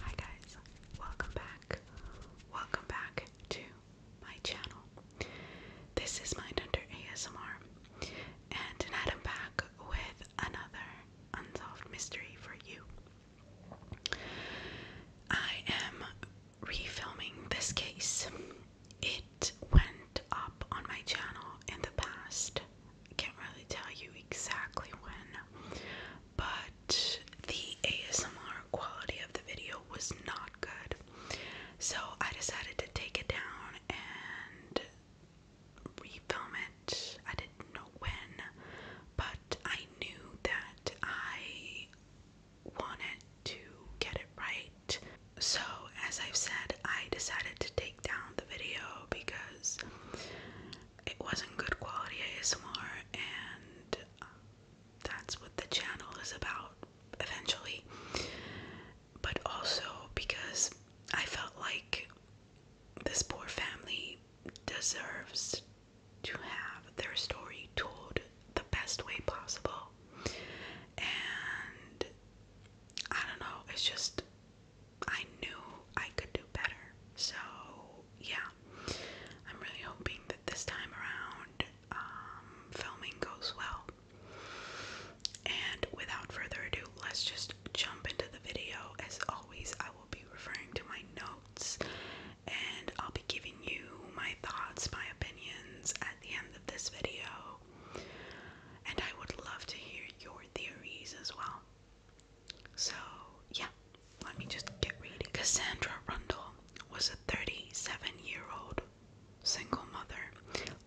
Hi guys, welcome back. Welcome back to my channel. This is Under ASMR, and I'm back with another unsolved mystery for you. I am refilming this case. It went up on my channel in the past. can't really tell you exactly when, but the ASMR quality of the video was not good. So I decided to take it down and refilm it. I didn't know when, but I knew that I wanted to get it right. So, as I've said, I decided to take down the video because it wasn't good quality ASMR, and um, that's what the channel is about eventually. But also because I felt like this poor family deserves to have their story told the best way possible. And I don't know, it's just I knew I could do better. So, yeah, I'm really hoping that this time around um, filming goes well. And without further ado, let's just jump into the video. As always, I will be referring to my notes and I'll be giving you my thoughts, my opinions at the end of this video. And I would love to hear your theories as well. So, yeah, let me just get reading. Cassandra Rundle was a 37 year old single mother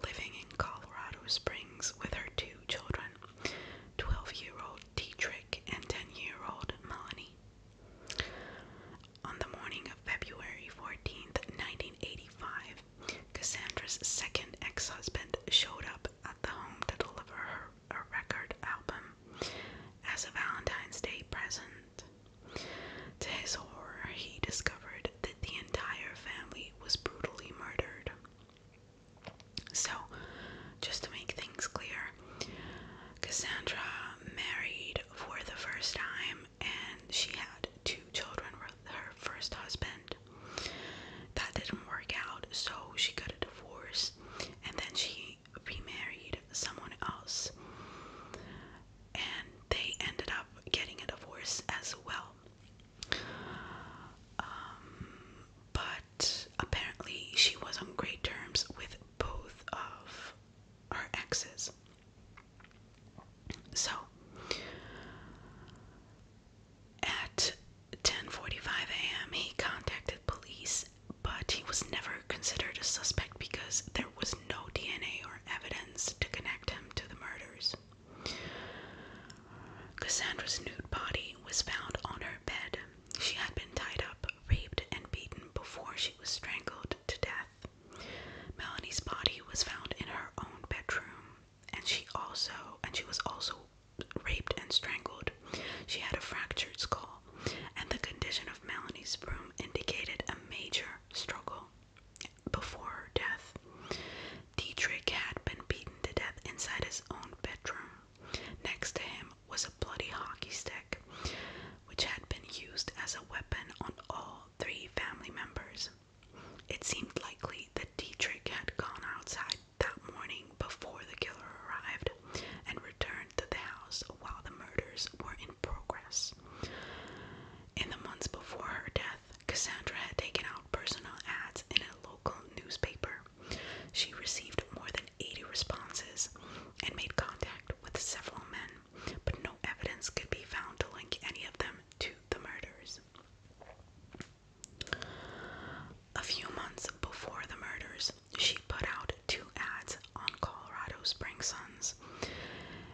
living in Colorado Springs with her two children 12 year old Dietrich and 10 year old Melanie. On the morning of February fourteenth, 1985, Cassandra's second ex husband showed up at the home to deliver her a record album as a Valentine's Day present. To his horror, he discovered that the entire family was brutally murdered. So, just to make things clear, Cassandra married for the first time and she had two children with her first husband. That didn't work out, so she got a divorce and then she he remarried someone else and they ended up getting a divorce as well. Um, but apparently, she was on great terms with both of her exes. So at 10:45 a.m., he contacted police but he was never considered a suspect because there was no DNA or evidence to connect him to the murders. Cassandra's nude body was found on her bed. She had been tied up, raped, and beaten before she was strangled to death. Melanie's body was found in her own bedroom, and she also and she was also raped and strangled. She had a fractured skull and the condition of Melanie's room indicated a major struggle before her death. Dietrich had been beaten to death inside his own bedroom. Next to him was a bloody hockey stick, which had been used as a weapon on all three family members. It seemed likely that Dietrich had gone outside that morning before the killer arrived and returned to the house while the murders were in progress. In the months before her death, Cassandra had taken out personal ads in a local newspaper. She received more than 80 responses and made contact with several men, but no evidence could be found to link any of them to the murders. A few months before the murders, she put out two ads on Colorado Springs Suns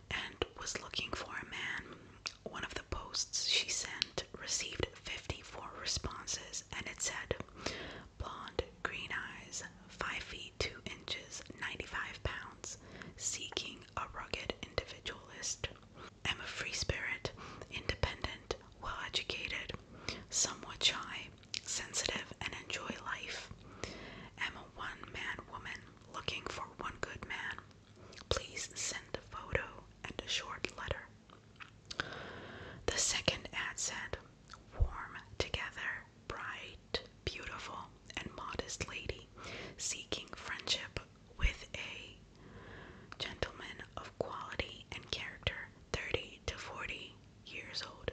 and was looking for a man. One of the posts she sent received 54 responses and it said blonde, green eyes, 5 feet 2 inches, 95 pounds, seeking a rugged individualist. I'm a free spirit, independent, well educated, somewhat shy, sensitive, and enjoy life. Am a one man woman looking for one good man. Please send a photo and a short letter. The second ad said, Warm together, bright, beautiful, and modest lady seeking friendship with a gentleman of quality and character, 30 to 40, years old.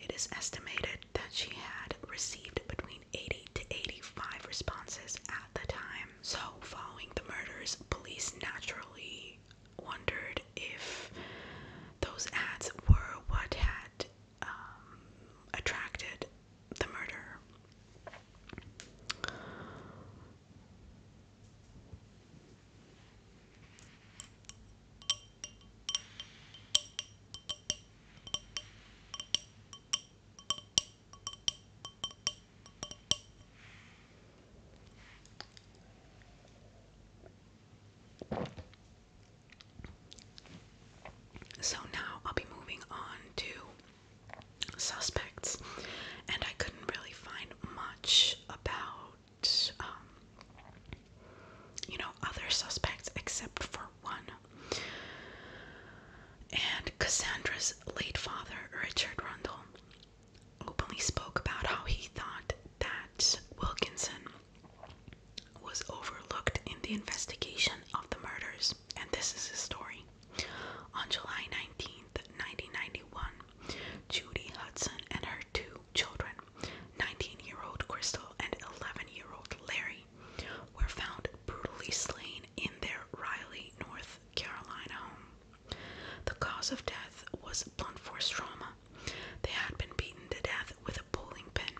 It is estimated that she had received between 80 to 85 responses at the time. So, following the murders, police naturally wondered if those ads were what had um, attracted the murder. So now I'll be moving on to suspects, and I couldn't really find much about um, you know, other suspects except for one. And Cassandra's late father, Richard Rundle, openly spoke about how he thought that Wilkinson was overlooked in the investigation of the murders. And this is his story. On July 19th, 1991, Judy Hudson and her two children, 19 year old Crystal and 11 year old Larry, were found brutally slain in their Raleigh, North Carolina home. The cause of death was blunt force trauma. They had been beaten to death with a bowling pin.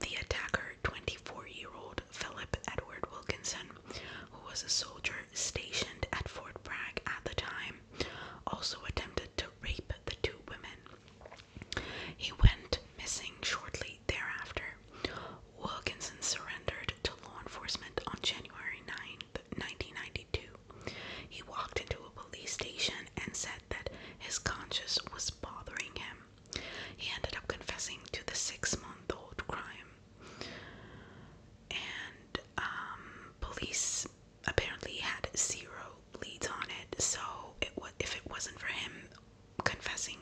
The attacker, 24 year old Philip Edward Wilkinson, who was a soldier stationed at Fort Bragg at the time, also attempted to rape the two women. He went missing shortly thereafter. Wilkinson surrendered to law enforcement on January 9, 1992. He walked into a police station and said that his conscience was bothering him. He ended up confessing to the six month old crime. And um, police apparently had zero leads on it. So it was if it wasn't for him confessing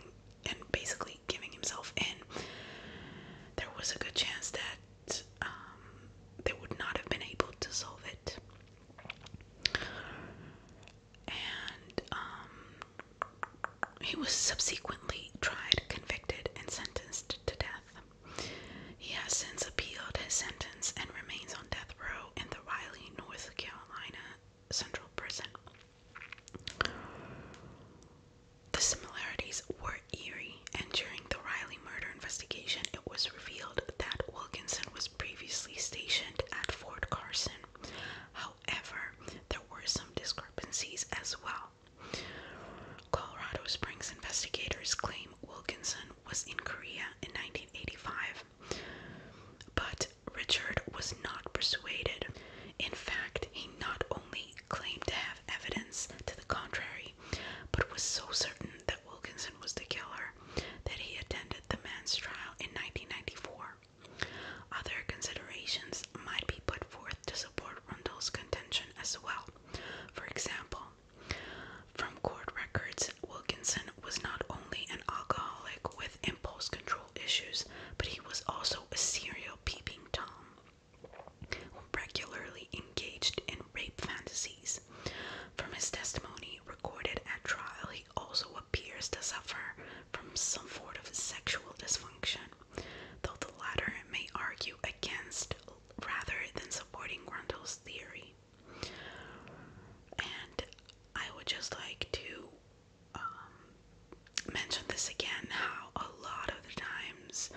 and basically giving himself in, there was a good chance that um, they would not have been able to solve it. And um, he was subsequently tried, convicted, and sentenced to death. He has since appealed his sentence and remains on death row in the Riley, North Carolina Central Prison. The similarities were eerie, and during the Riley murder investigation, it was revealed that Wilkinson was previously stationed at Fort Carson. However, there were some discrepancies as well. Colorado Springs investigators claim Wilkinson was in Korea in 1985, but Richard was not persuaded. In fact, he not only claimed to have evidence to the contrary, but was so certain that Wilkinson was the killer that he attended the man's trial in 1994. Other considerations might be put forth to support Rundle's contention as well. For example, from court records, Wilkinson was not only an alcoholic with impulse control issues, but he was also a serial peeping Tom regularly engaged in rape fantasies. From his testimony recorded at trial, he also appears to suffer from some sort of sexual dysfunction, though the latter may argue against rather than supporting Grundle's theory. And I would just like to um, mention this again how a lot of the times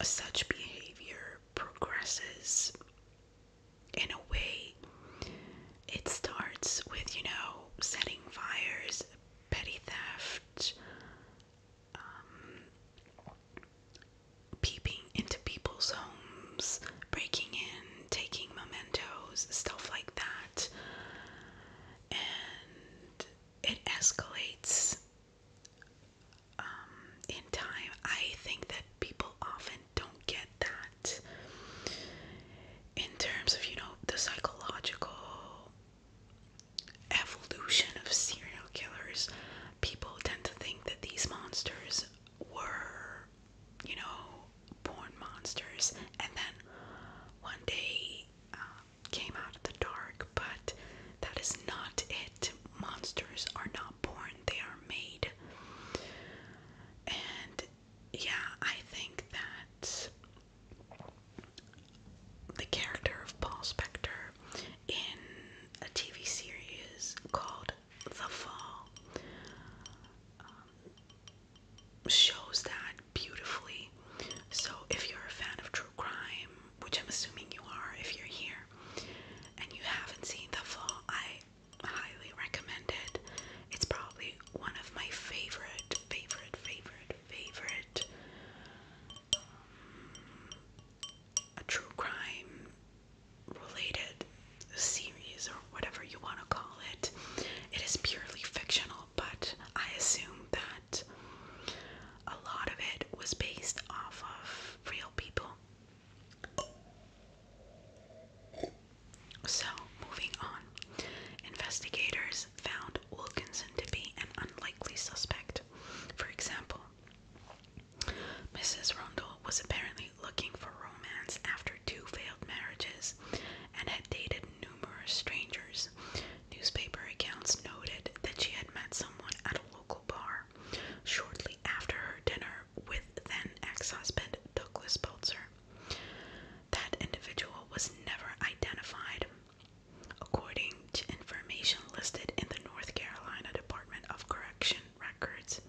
such behavior progresses in a way it starts with, you know, setting fires, petty theft. Um, peeping into people's homes, breaking in, taking mementos, stuff like that. And it escalates um, in time. I think that people often don't get that in terms of, you know, the psychological evolution of serial killers. People tend to think that these monsters were, you know, born monsters, and then one day um, came out of the dark. But that is not it. Monsters are not born; they are made. And yeah, I think that the character of Paul Spector in a TV series called the fall um, shows that beautifully. So, if you're a fan of true crime, which I'm assuming you are if you're here, and you haven't seen The Fall, I highly recommend it. It's probably one of my favorite, favorite, favorite, favorite um, a true crime related series or whatever you want to call it. It is purely fictional, but I assume that a lot of it was based off of real people. So, moving on. Investigators found Wilkinson to be an unlikely suspect. For example, Mrs. Rundle was apparently looking for romance after two failed marriages and had dated numerous strangers. Newspaper accounts noted that she had met someone at a local bar shortly after her dinner with then ex husband Douglas Belzer. That individual was never identified. According to information listed in the North Carolina Department of Correction, Television records.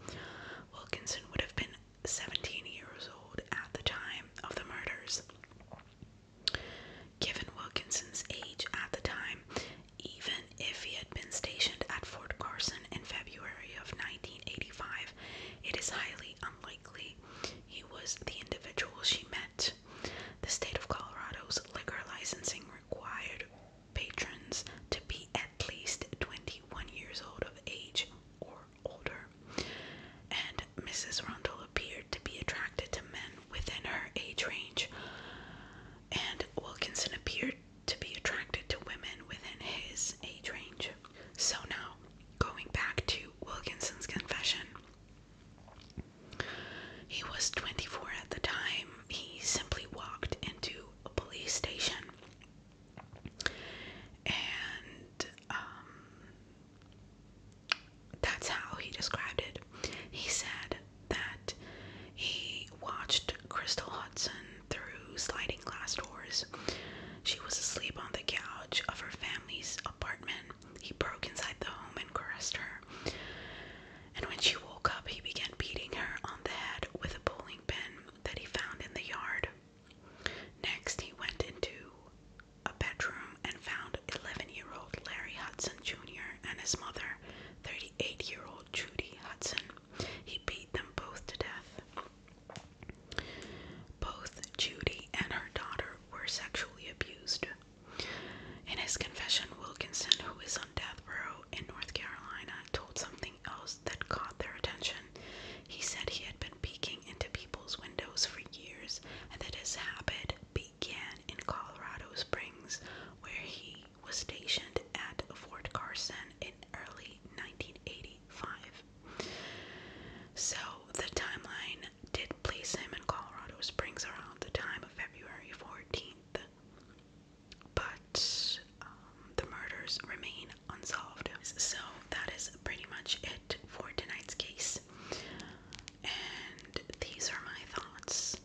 Wilkinson would have been 17 years old at the time of the murders. Given Wilkinson's age at the time, even if he had been stationed at Fort Carson in February of 1985, it is highly unlikely he was the individual she met. The state of Colorado's liquor licensing required patrons to be at least 21 years old of age or older, and Mrs. Rundle appeared to be attracted to men within her age range, and Wilkinson appeared to be attracted to women within his age range. So now, going back to Wilkinson's confession. He was 24 at the time. He simply walked into a police station and um, that's how he described it. He said that he watched Crystal Hudson through sliding glass doors. She was asleep on the couch of her family's apartment. He broke inside the home and caressed her. And when she woke up, he began beating her on the head with a bowling pin that he found in the yard. Next, he went into a bedroom and found 11 year old Larry Hudson Jr. and his mother, 38 year old Judy Hudson. He beat them both to death. Both Judy and her daughter were sexually abused. In his confession, Wilkinson, who is on death row in North Carolina, told something else else that caught their attention. He said he had been peeking into people's windows for years and that his habit began in Colorado Springs, where he was stationed at Fort Carson in early 1985. So the timeline did place him in Colorado Springs around the time of February 14th but um, the murders remain unsolved. So that is pretty much it for tonight's case, and these are my thoughts.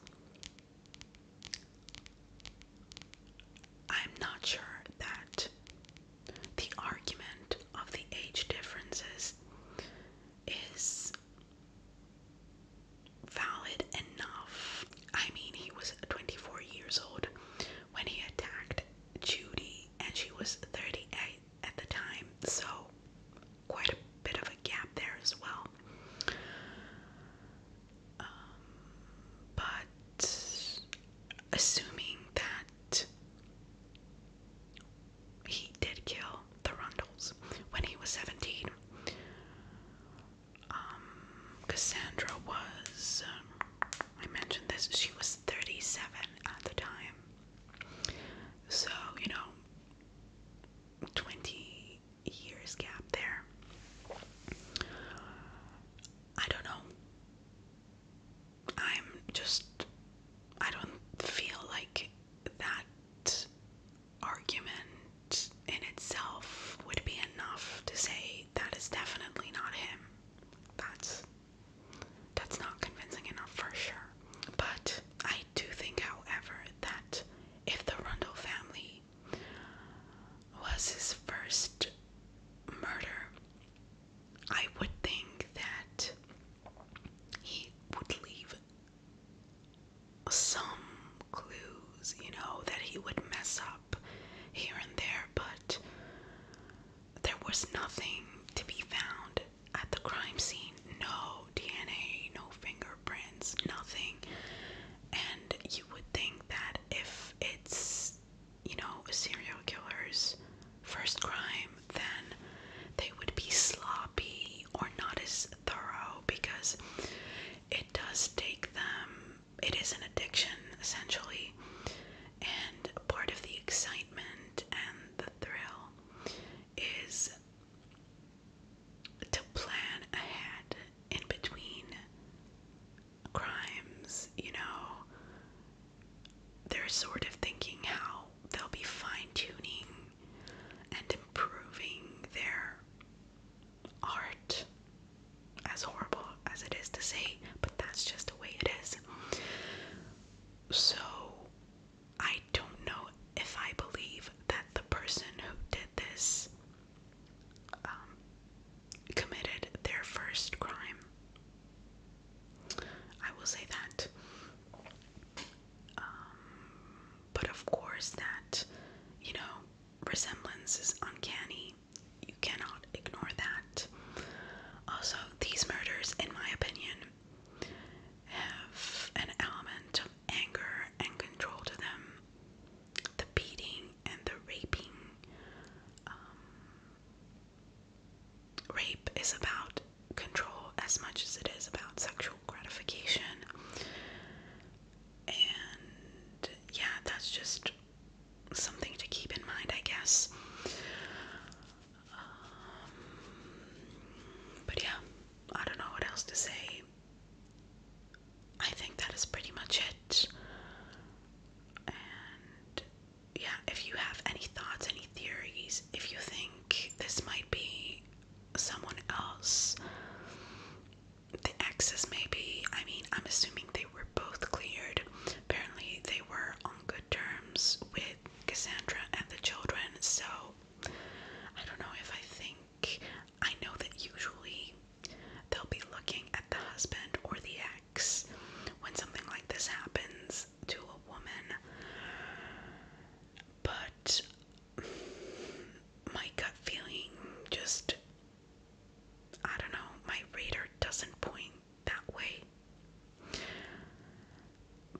I'm not sure that the argument of the age differences is valid enough. I mean, he was 24 years old when he attacked Judy, and she was 38 at the time, so quite a bit of a gap there as well. Um, but assuming that he did kill the Rundles when he was 17, um, Cassandra was, I mentioned this, she was 37 at the time. So, you know, 20 years gap there. I don't know. I'm just, I don't feel like that argument in itself would be enough to say that is definitely not him. That's that's not convincing enough for sure. But I do think, however, that if the Rundle family was his first murder, I would think that he would leave some clues, you know, that he would mess up here and there, but there was nothing to be found at the crime scene. No DNA, no fingerprints, nothing. And you would think that if it's, you know, a serial killer's first crime, then they would be sloppy or not as thorough because it does take them it is an addiction essentially, and part of the excitement and the thrill is to plan ahead in between crimes, you know. They're sort of thinking how they'll be fine tuning and improving their art as horrible as it is to say, but that's just the way it is. So, I don't know if I believe that the person who did this um, committed their first crime. I will say that. Um, but of course, that, you know, resemblance is uncanny you cannot ignore that. Also, these murders, in my opinion, have an element of anger and control to them. The beating and the raping. Um, rape is about control as much as it is about sexual gratification. And yeah, that's just something to keep in mind, I guess. Um, but yeah, I don't know what else to say. I think that is pretty much it. And yeah, if you have any thoughts, any theories, if you think this might be someone else, the exes maybe, I mean, I'm assuming they were both cleared. Apparently, they were on good terms with Cassandra and the children, so I don't know if I think. I know that usually they'll be looking at the husband or the ex when something like this happens to a woman. But my gut feeling just I don't know, my radar doesn't point that way.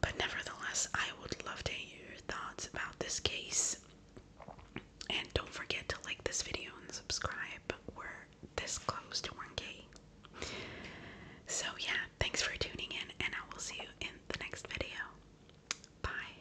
But nevertheless, I would love to hear your thoughts about this case. And don't forget to like this video and subscribe. We're this close to 1K. So, yeah, thanks for tuning in, and I will see you in the next video. Bye.